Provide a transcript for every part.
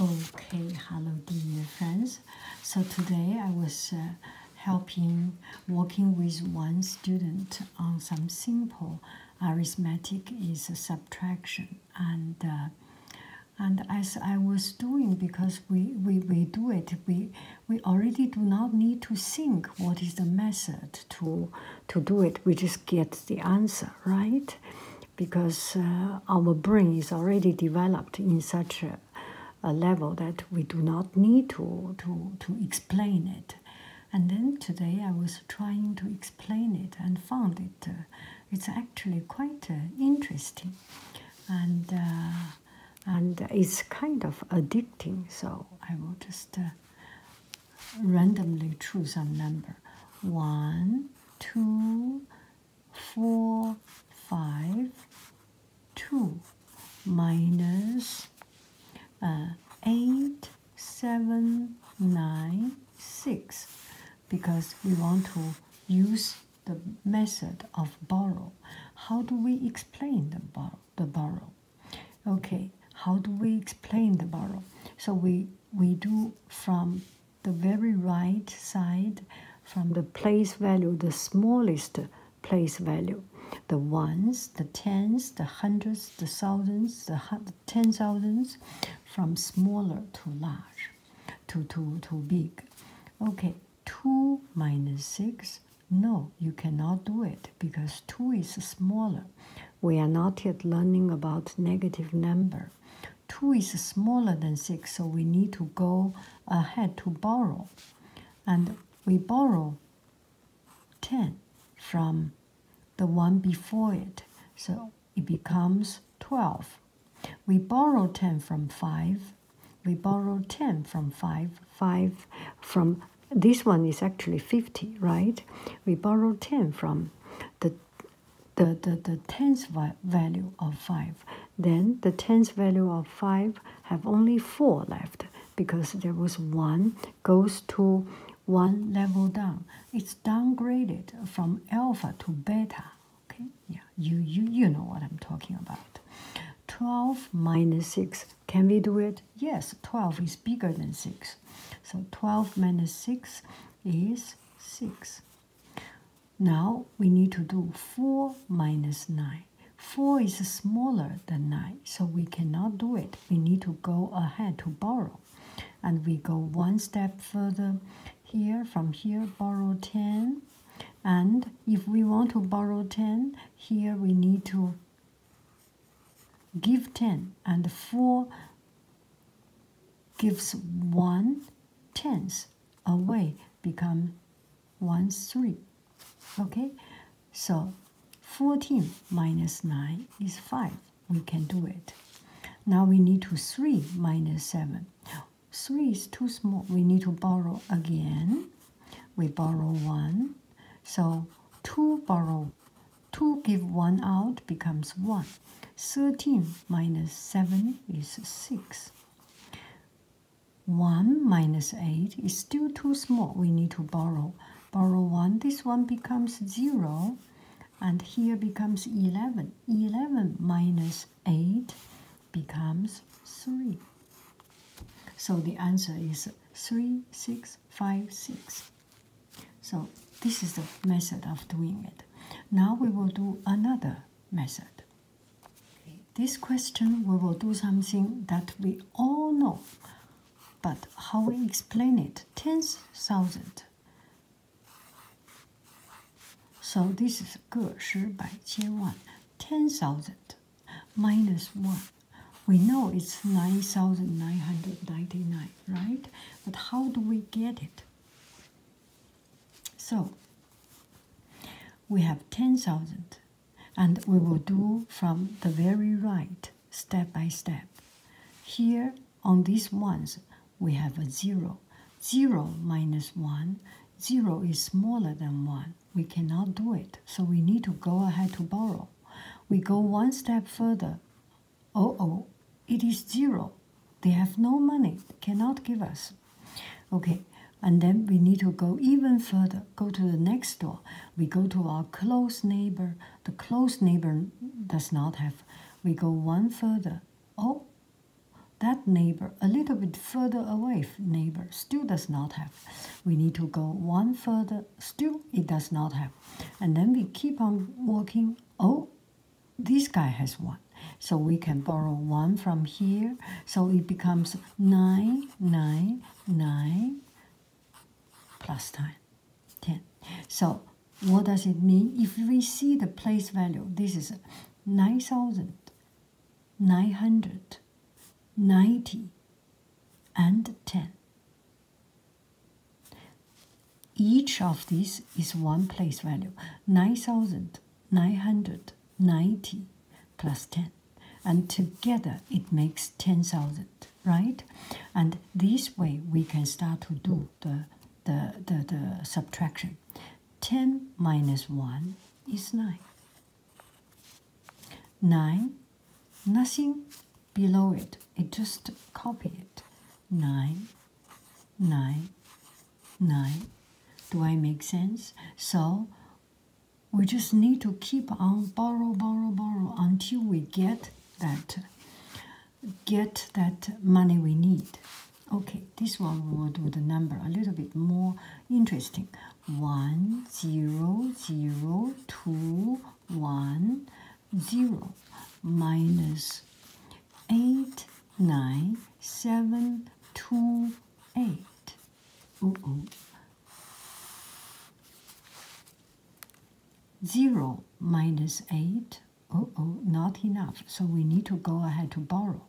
Okay, hello dear friends. So today I was uh, helping working with one student on some simple arithmetic is a subtraction and uh, and as I was doing because we, we, we do it we we already do not need to think what is the method to to do it we just get the answer right because uh, our brain is already developed in such a, level that we do not need to, to, to explain it. And then today I was trying to explain it and found it. Uh, it's actually quite uh, interesting, and and it's kind of addicting. So I will just randomly choose a number: one, two, four, five, two minus uh, eight, seven, nine, six, because we want to use the method of borrow. How do we explain the, bor the borrow? Okay, how do we explain the borrow? So we we do from the very right side from the place value, the smallest place value, the ones, the tens, the hundreds, the thousands, the ten thousands, from smaller to large, to, to, to big. Okay, 2 minus 6, no, you cannot do it because 2 is smaller. We are not yet learning about negative number. 2 is smaller than 6, so we need to go ahead to borrow. And we borrow 10 from the one before it, so it becomes 12. We borrow 10 from 5. We borrow 10 from 5. 5 from this one is actually 50, right? We borrow 10 from the the, the, the tenth value of 5, then the tens value of 5 have only 4 left because there was 1 goes to 1 level down. It's downgraded from alpha to beta. Okay, yeah, you, you, you know what I'm talking about. 12 minus 6, can we do it? Yes, 12 is bigger than 6. So 12 minus 6 is 6. Now we need to do 4 minus 9. 4 is smaller than 9, so we cannot do it. We need to go ahead to borrow. And we go one step further here, from here, borrow 10. And if we want to borrow 10, here we need to give 10. And 4 gives one tenth away, become one three. Okay, so 14 minus 9 is 5. We can do it. Now we need to 3 minus 7. 3 is too small. We need to borrow again. We borrow 1. So 2 borrow 2 give 1 out becomes 1. 13 minus 7 is 6. 1 minus 8 is still too small. We need to borrow. Borrow 1. This one becomes 0. And here becomes 11. 11 minus 8 becomes 3. So the answer is 3, 6, 5, 6. So this is the method of doing it. Now we will do another method. This question we will do something that we all know, but how we explain it, 10,000. So this is 个十百千万 ,10,000 minus 1. We know it's 9,999, right? But how do we get it? So we have 10,000 and we will do from the very right step by step. Here on these ones we have a 0. 0 minus 1, 0 is smaller than 1. We cannot do it, so we need to go ahead to borrow. We go one step further oh oh it is zero they have no money cannot give us okay and then we need to go even further go to the next door we go to our close neighbor the close neighbor does not have we go one further oh that neighbor a little bit further away neighbor still does not have we need to go one further still it does not have and then we keep on walking oh this guy has one. So we can borrow one from here. So it becomes nine, nine, nine, 9, 10. So what does it mean? If we see the place value, this is 9,990 and 10. Each of these is one place value 9,990 plus 10, and together it makes 10,000, right? And this way we can start to do the, the, the, the subtraction. 10 minus 1 is 9. 9, nothing below it. It just copy it. Nine, nine, nine. Do I make sense? So we just need to keep on borrow, borrow, borrow until we get that get that money we need. Okay, this one we will do the number a little bit more interesting. One zero zero two one 0 minus 8, 9, 7, 2, 8. 0 minus 8. Oh, oh, not enough. So we need to go ahead to borrow.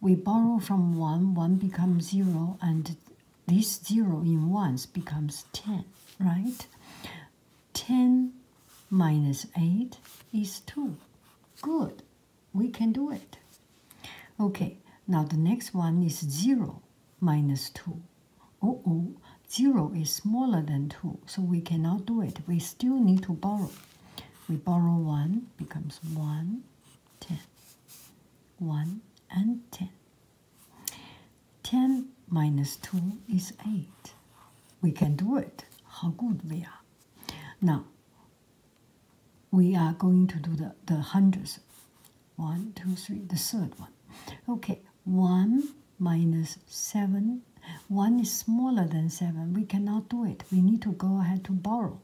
We borrow from 1, 1 becomes 0, and this 0 in 1s becomes 10, right? 10 minus 8 is 2. Good. We can do it. Okay, now the next one is 0 minus 2. Oh, oh, 0 is smaller than 2, so we cannot do it. We still need to borrow. We borrow 1, becomes 1, 10. 1 and 10. 10 minus 2 is 8. We can do it. How good we are. Now, we are going to do the, the hundreds. 1, the third one. Okay, 1 minus 7. 1 is smaller than 7. We cannot do it. We need to go ahead to borrow.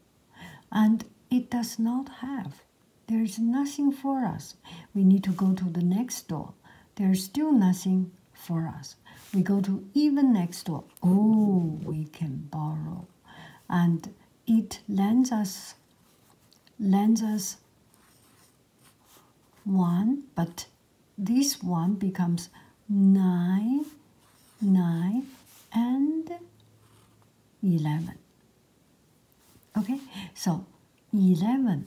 And it does not have there's nothing for us. We need to go to the next door. There's still nothing for us. We go to even next door. Oh, we can borrow. And it lends us lends us one, but this one becomes nine, nine, and eleven. Okay, so eleven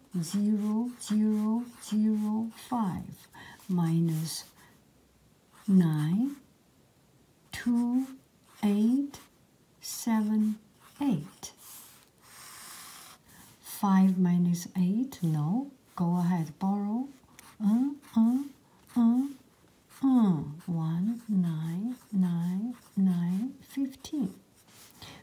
zero zero zero five minus nine two eight seven eight five minus eight no go ahead borrow mm, mm, mm, mm. one nine nine nine fifteen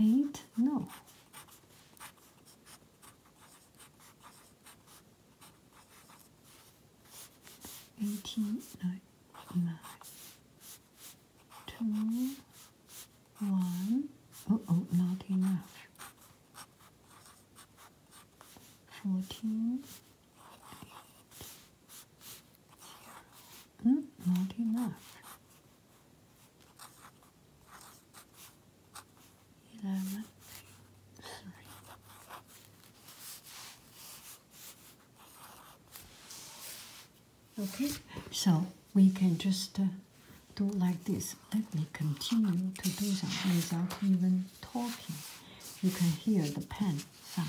Eight? No. Eighteen, nine, nine, two, one. Oh, oh, not enough. Fourteen. Mm, not enough. Eleven. Sorry. Okay, so we can just uh, do like this. Let me continue to do that without even talking. You can hear the pen sound.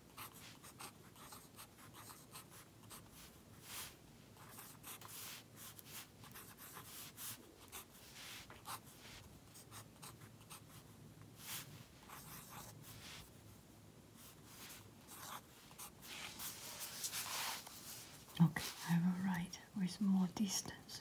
Okay, I will write with more distance.